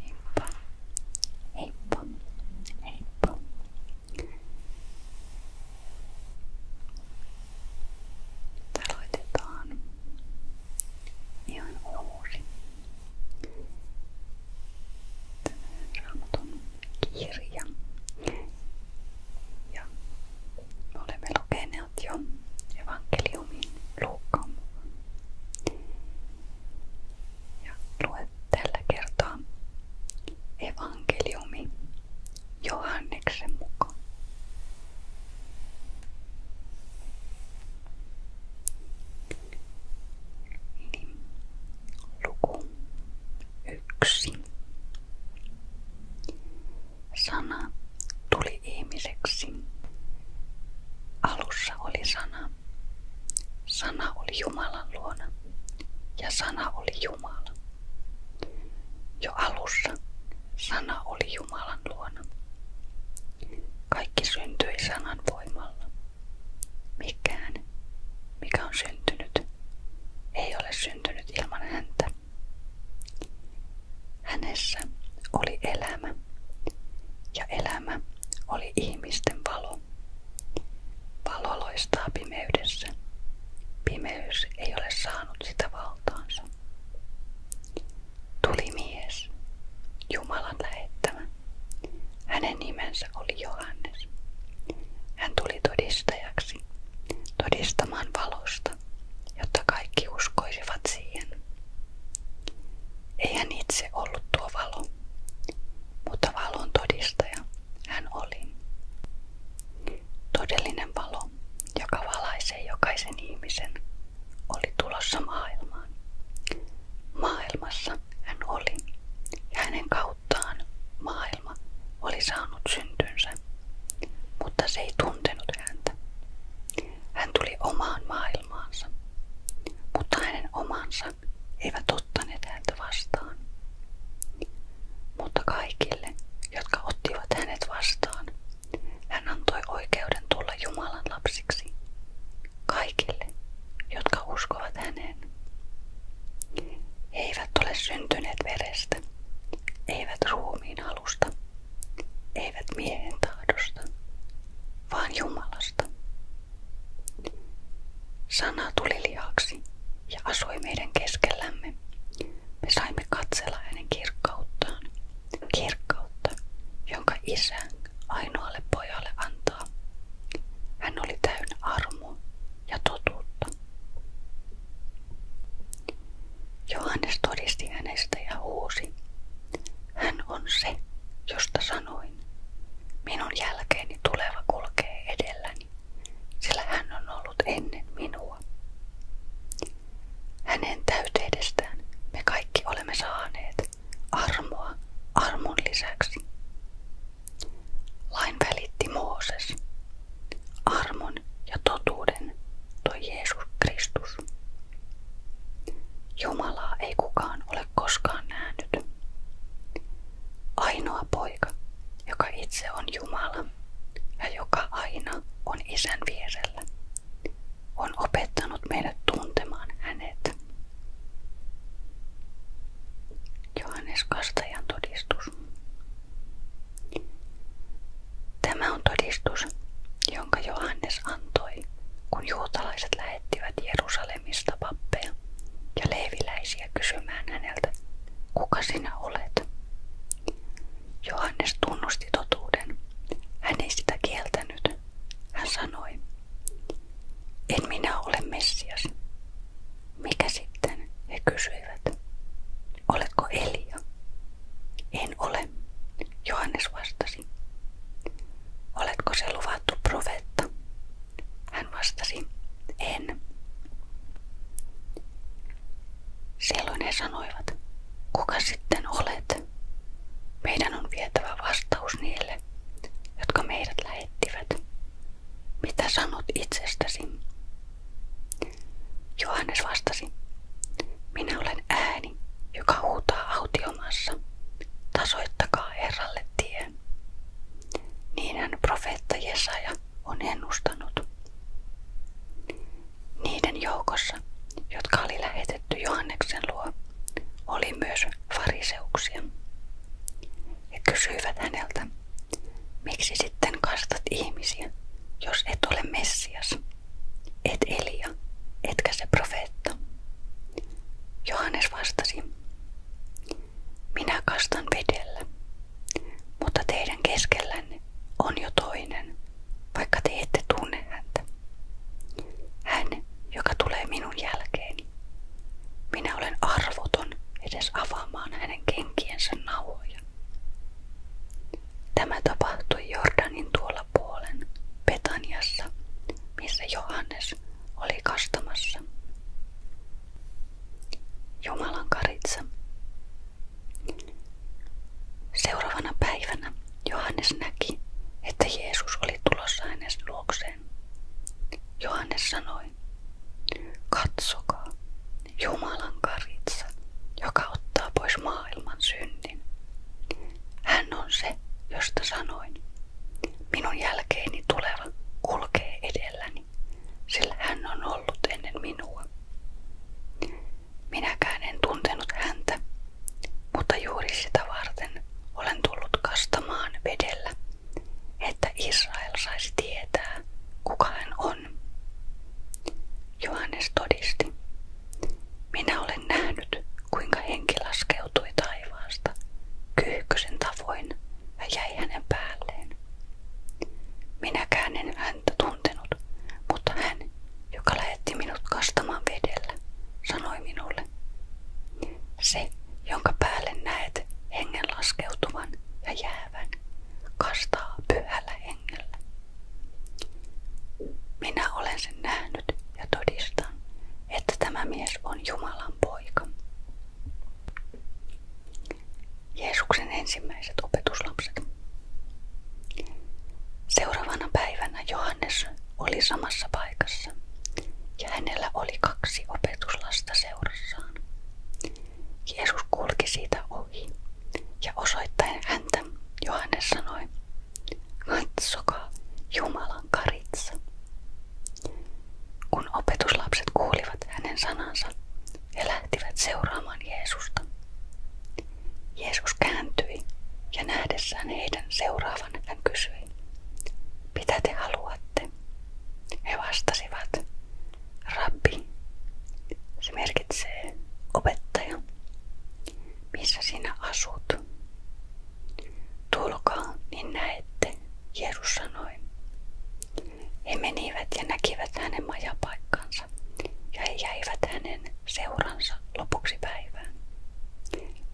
Heippa, heippa, heippa. Nyt aloitetaan ihan uusi Raamatun kirja. Ja olemme lukeneet Evankelio, evankeliumin Luukkaan Ja luen tällä kertaa evankeliumi Johanneksen mukaan. Niin, luku yksi. Sana tuli ihmiseksi. Alussa oli sana. Sana oli Jumalan luona ja sana oli Jumala. Jo alussa sana oli Jumalan luona. Kaikki syntyi sanan voimalla. Mikään, mikä on syntynyt, ei ole syntynyt ilman häntä. Hänessä oli elämä, ja elämä oli ihmisten valo. Valo loistaa pimeydessä. Pimeys ei ole saanut sitä valtaansa. Tuli mies, Jumalan lähettämä. Hänen nimensä oli Johannes. Hän tuli todistajaksi, todistamaan valosta Jeesusta, jotta kaikki uskoisivat siihen. Ei hän itse ollut tuo valo, mutta valon todistaja hän oli. Todellinen valo, joka valaisee jokaisen ihmisen, oli tulossa maailmaan. Maailmassa hän oli, ja hänen kauttaan maailma oli saanut syntynsä, mutta se ei tuntenut häntä. Hän tuli omaan maailmaansa, mutta hänen omansa eivät ottaneet häntä vastaan. Mutta kaikille, jotka ottivat hänet vastaan, hän antoi oikeuden tulla Jumalan lapsiksi. Kaikille, jotka uskovat häneen. eivät ole syntyneet verestä, eivät ruumiin halua halusta, eivät miehen tahdosta, vaan Jumalasta. Sana tuli lihaksi ja asui meidän keskellämme. Me saimme katsella hänen kirkkauttaan, kirkkautta, jonka isä ainoalle pojalle antaa. Hän oli täynnä armoa ja totuutta. Johannes todisti hänestä ja huusi. Hän on se, josta sanoin. Minun jälkeeni tuleva kulkee edelläni, sillä hän on ollut ennen minua. Hänen täyteydestään me kaikki olemme saaneet armoa armon lisäksi. Lain välitti Mooses, armon ja totuuden tuo Jeesus Kristus. Jumalaa ei kukaan ole koskaan nähnyt. Ainoa poika, joka itse on Jumala ja joka aina on isän vierellä, on opettanut meidät tuntemaan hänet. Johannes Kastajan todistus. Tämä on todistus, jonka Johannes antoi, kun juutalaiset lähettivät Jerusalemista pappeja ja leiviläisiä kysymään häneltä, kuka sinä olet. Johannes tunnusti totuuden. Hän ei sitä kieltänyt. Hän sanoi, en minä ole Messias. Mikä sitten? He kysyivät. Oletko Elia? En ole, Johannes vastasi. Oletko se luvattu profeetta? Hän vastasi, en. Silloin he sanoivat, kuka sitten olet? Meidän on vietävä vastaus niille, jotka meidät lähettivät. Mitä sanot itsestäsi? Johannes vastasi, minä olen ääni, joka huutaa autiomassa, tasoittakaa Herralle tie. Niinhän profeetta Jesaja on ennustanut. Niiden joukossa, jotka oli lähetetty Johanneksen luo, oli myös fariseuksia. He kysyivät häneltä, Miksi sitten kastat ihmisiä, jos et ole Messias, et Elia, etkä se profeetta? Johannes vastasi, minä kastan vedellä, mutta teidän keskellänne on jo toinen, vaikka te ette tunne häntä. Hän, joka tulee minun jälkeeni, minä olen arvoton edes avaamaan hänen kenkiensä nauhoja. Tämä tapahtui Jordanin tuolla puolen, Betaniassa, missä Johannes oli kastamassa. Jumalan karitsa. Seuraavana päivänä Johannes näki, että Jeesus oli tulossa hänen luokseen. Johannes sanoi, sanoi, katsokaa, Jumalan karitsa, joka ottaa pois maailman synnin. Hän on se, josta sanoin, minun jälkeeni tuleva kulkee edelläni, sillä hän on ollut ennen minua. Minäkään en tuntenut häntä, mutta juuri sitä varten olen tullut kastamaan vedellä, että Israel saisi tietää, kuka hän on on. Johannes todisti. Minä olen nähnyt, kuinka henki laskeutui taivaasta kyyhkösen tavoin ja jäi hänen päälleen. Minäkään en häntä tuntenut, mutta hän, joka lähetti minut kastamaan vedellä, sanoi minulle, se, jonka päälle näet hengen laskeutuvan ja jäävän, kastaa pyhällä hengellä. Minä olen sen nähnyt ja todistan, että tämä mies on Jumalan poika. Jeesuksen ensimmäiset opetuslapset. Seuraavana päivänä Johannes oli samassa paikassa ja hänellä oli kaksi opetuslasta seurassaan. Jeesus kulki siitä ohi ja osoittaen häntä Johannes sanoi, katsokaa Jumalan karitsa. Kun opetuslapset kuulivat hänen sanansa, he lähtivät seuraamaan Jeesusta. Jeesus kääntyi ja nähdessään heidän seuraavan hän kysyi, mitä te haluatte? He vastasivat, Rabbi. Se merkitsee opettaja. Missä sinä asut? Tulkaa, niin näette, Jeesus sanoi. He menivät ja näkivät hänen majapaikkansa ja he jäivät hänen seuransa lopuksi päivään.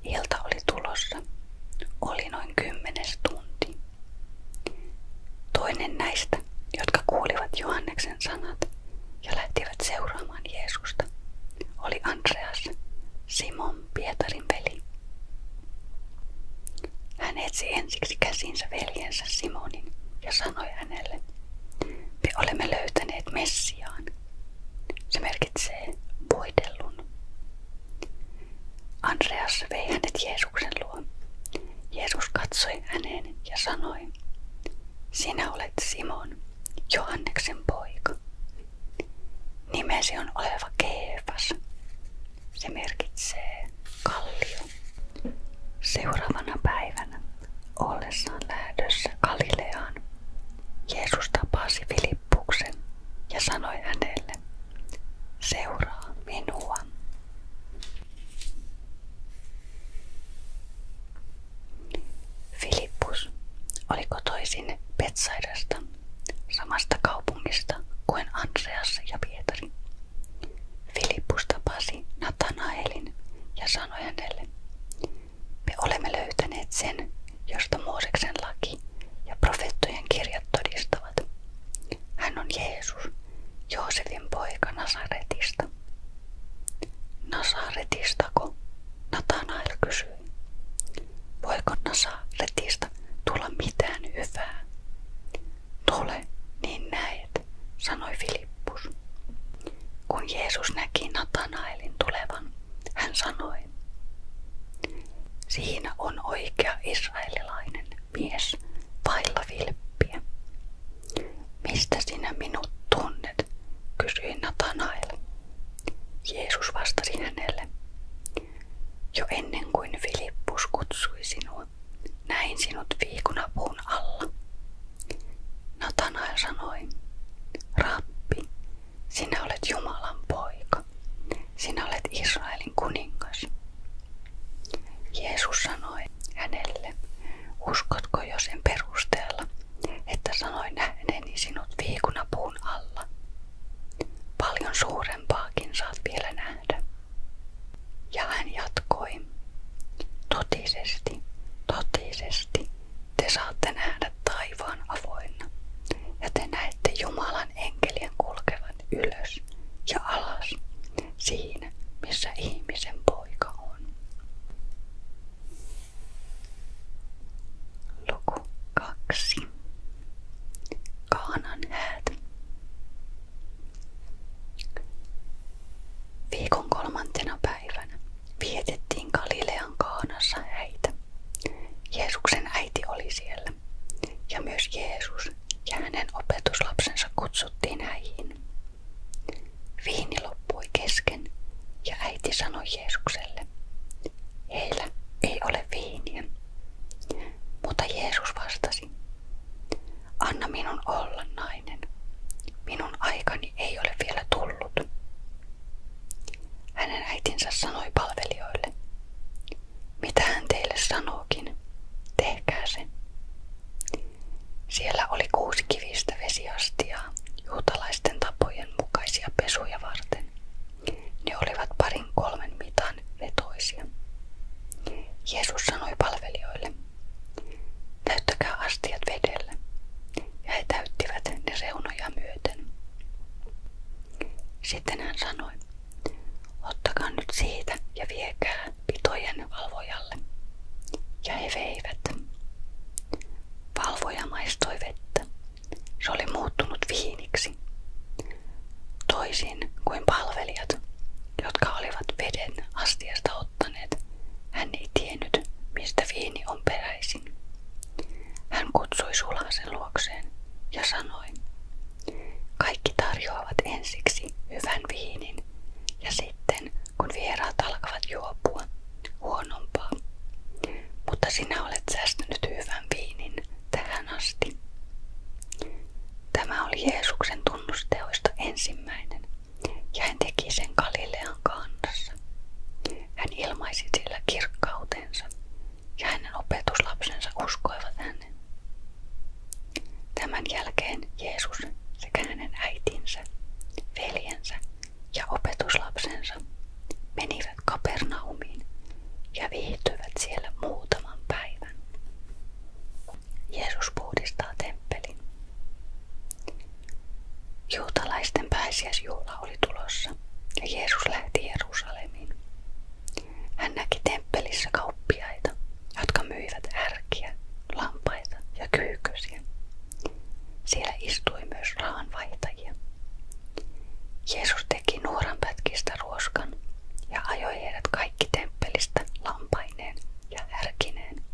Ilta oli tulossa. Oli noin kymmenes tunti. Toinen näistä, jotka kuulivat Johanneksen sanat ja lähtivät seuraamaan Jeesusta, oli Andreas, Simon Pietarin veli. Hän etsi ensiksi käsinsä veljensä Simonin ja sanoi hänelle, me olemme löytäneet Messiaan. Se merkitsee voidellun. Andreas vei hänet Jeesuksen Jeesuksen luo. Jeesus katsoi häneen ja sanoi, sinä olet Simon, Johanneksen poika. Nimesi on oleva Keefas. Se merkitsee kallio. Seuraavana päivänä ollessaan lähdössä Galileaan Jeesus tapasi Filippuksen ja sanoi hänelle, Seuraa minua. Filippus oli kotoisin Petsaidasta, samasta kaupungista kuin Andreas ja Pietari. Filippus tapasi Natanaelin ja sanoi hänelle, me olemme löytäneet sen, josta Mooseksen laki ja profeettojen kirjat todistavat. Hän on Jeesus, Joosefin poika Nasaretista. Nasaretistako? Natanael kysyi. Voiko Nasaretista tulla mitään hyvää? Tule, niin näet, sanoi Filippus. Kun Jeesus näki Natanaelin tulevan, hän sanoi, Siinä on oikea israelilainen mies vailla vilppiä. Mistä sinä minut tunnet? kysyi Natanael. Jeesus vastasi hänelle. Jo ennen kuin Filippus kutsui sinua, näin sinut viikunapuun alla. Natanael sanoi, Rappi, sinä olet Jumalan poika. Jumalapoika, sinä olet Israelin kuningas. Jeesus sanoi hänelle, uskotko jo sen perusteella, että sanoin nähneeni sinut viikunapuun alla? Paljon suurempaakin saat vielä nähdä. Ja hän jatkoi, totisesti, totisesti, te saatte nähdä taivaan avoinna, ja te näette Jumalan enkelien kulkevan ylös ja alas siinä, missä ihmisen poika on. Luku 2. Kaanan häät. Viikon kolmantena päivänä vietettiin Galilean kaanassa häitä. Jeesuksen äiti oli siellä ja myös Jeesus ja hänen opetuslapsensa kutsuttiin häihin. Viini loppui kesken ja äiti sanoi Jeesukselle, heillä ei ole viiniä. Mutta Jeesus vastasi, anna minun olla nainen. Minun aikani ei ole vielä tullut. Hänen äitinsä sanoi palvelijoille, mitä hän teille sanookin, tehkää se. Siellä oli kuusi kivistä vesiastiaa juutalaisten tapojen mukaisia pesuja varten. Ne olivat parin kolmen mitan vetoisia. Jeesus sanoi palvelijoille, täyttäkää astiat vedellä, ja he täyttivät ne reunoja myöten. Sitten hän sanoi, ottakaa nyt siitä ja viekää pitojen valvojalle. Ja he veivät. Valvoja maistoi vettä. Se oli muuttunut viiniksi. Toisin kuin palvelijat, jotka olivat veden astiasta ottaneet, hän ei tiennyt, mistä viini on peräisin. Hän kutsui Sulasen luokseen ja sanoi, kaikki tarjoavat ensiksi hyvän viinin ja sitten kun vieraat alkavat juopua, huonompaa. Mutta sinä olet säästänyt hyvän viinin tähän asti. Tämä oli Jeesuksen tunnusteoista ensimmäinen ja hän teki sen Galilean kannassa kanssa. Hän ilmaisi sillä kirkkautensa ja hänen opetuslapsensa uskoivat hänen. Tämän jälkeen Jeesus sekä hänen äitinsä, veljensä ja opetuslapsensa menivät Kapernaumiin ja viihtyivät siellä muutaman päivän. Jeesus puhdistaa temppelin. Juutalaisten pääsiäisjuhla oli tulossa ja Jeesus lähti Jerusalemiin. Hän näki temppelissä kauppiaita, jotka myivät härkiä, lampaita ja kyykösiä. Siellä istui myös rahanvaihtajia. Jeesus teki nuoranpätkistä ruoskan ja ajoi heidät kaikki temppelistä lampaineen ja härkineen.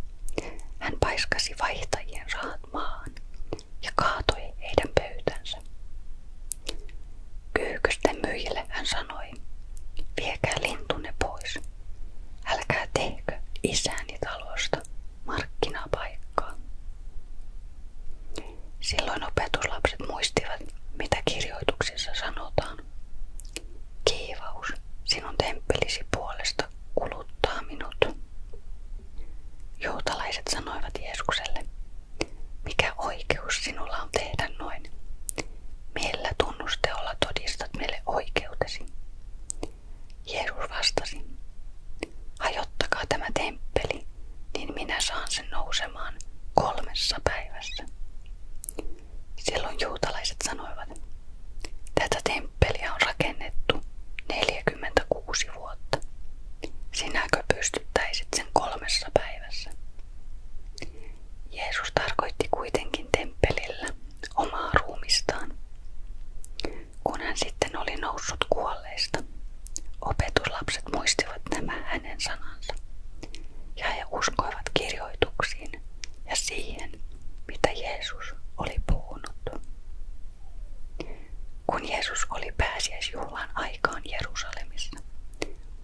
Hän paiskasi vaihtajien rahat maahan ja kaatui heidän pöytänsä. Kyykysten myyjille hän sanoi, viekää lintunne pois. Älkää tehkö isäni talosta markkinapaikkaa. Silloin opetuslapset muistivat, mitä kirjoituksissa sanotaan. Kiivaus, sinun temppelisi puolesta kuluttaa minut. Juutalaiset sanoivat Jeesukselle, mikä oikeus sinulla on tehdä noin? Millä tunnusteolla todistat meille oikeutesi? Jeesus vastasi, hajottakaa tämä temppeli, niin minä saan sen nousemaan kolmessa päivässä. Silloin juutalaiset sanoivat, tätä temppeliä on rakennettu 46 vuotta. Sinäkö pystyttäisit sen kolmessa päivässä? Jeesus tarkoitti kuitenkin temppelillä omaa ruumistaan. Kun hän sitten oli noussut kuolleista, opetuslapset muistivat nämä hänen sanansa, ja he uskoivat kirjoituksiin ja siihen, mitä Jeesus oli puhunut. Kun Jeesus oli pääsiäisjuhlan aikaan Jerusalemissa,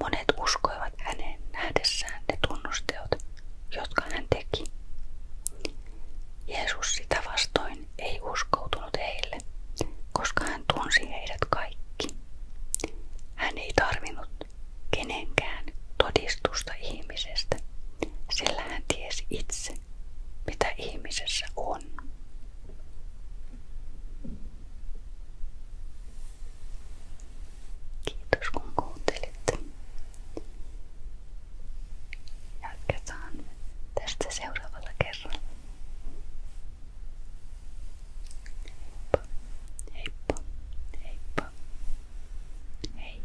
monet uskoivat häneen nähdessään ne tunnusteot, jotka hän teki. Jeesus sitä vastoin ei uskoutunut heille, koska hän tunsi heidät kaikki. Hän ei tarvinnut kenenkään todistusta ihmisestä, sillä hän tiesi itse, mitä ihmisessä on. Kiitos kun kuuntelitte. Jatketaan tästä seuraavalla kerralla. Heippa, heippa, heippa. Hei.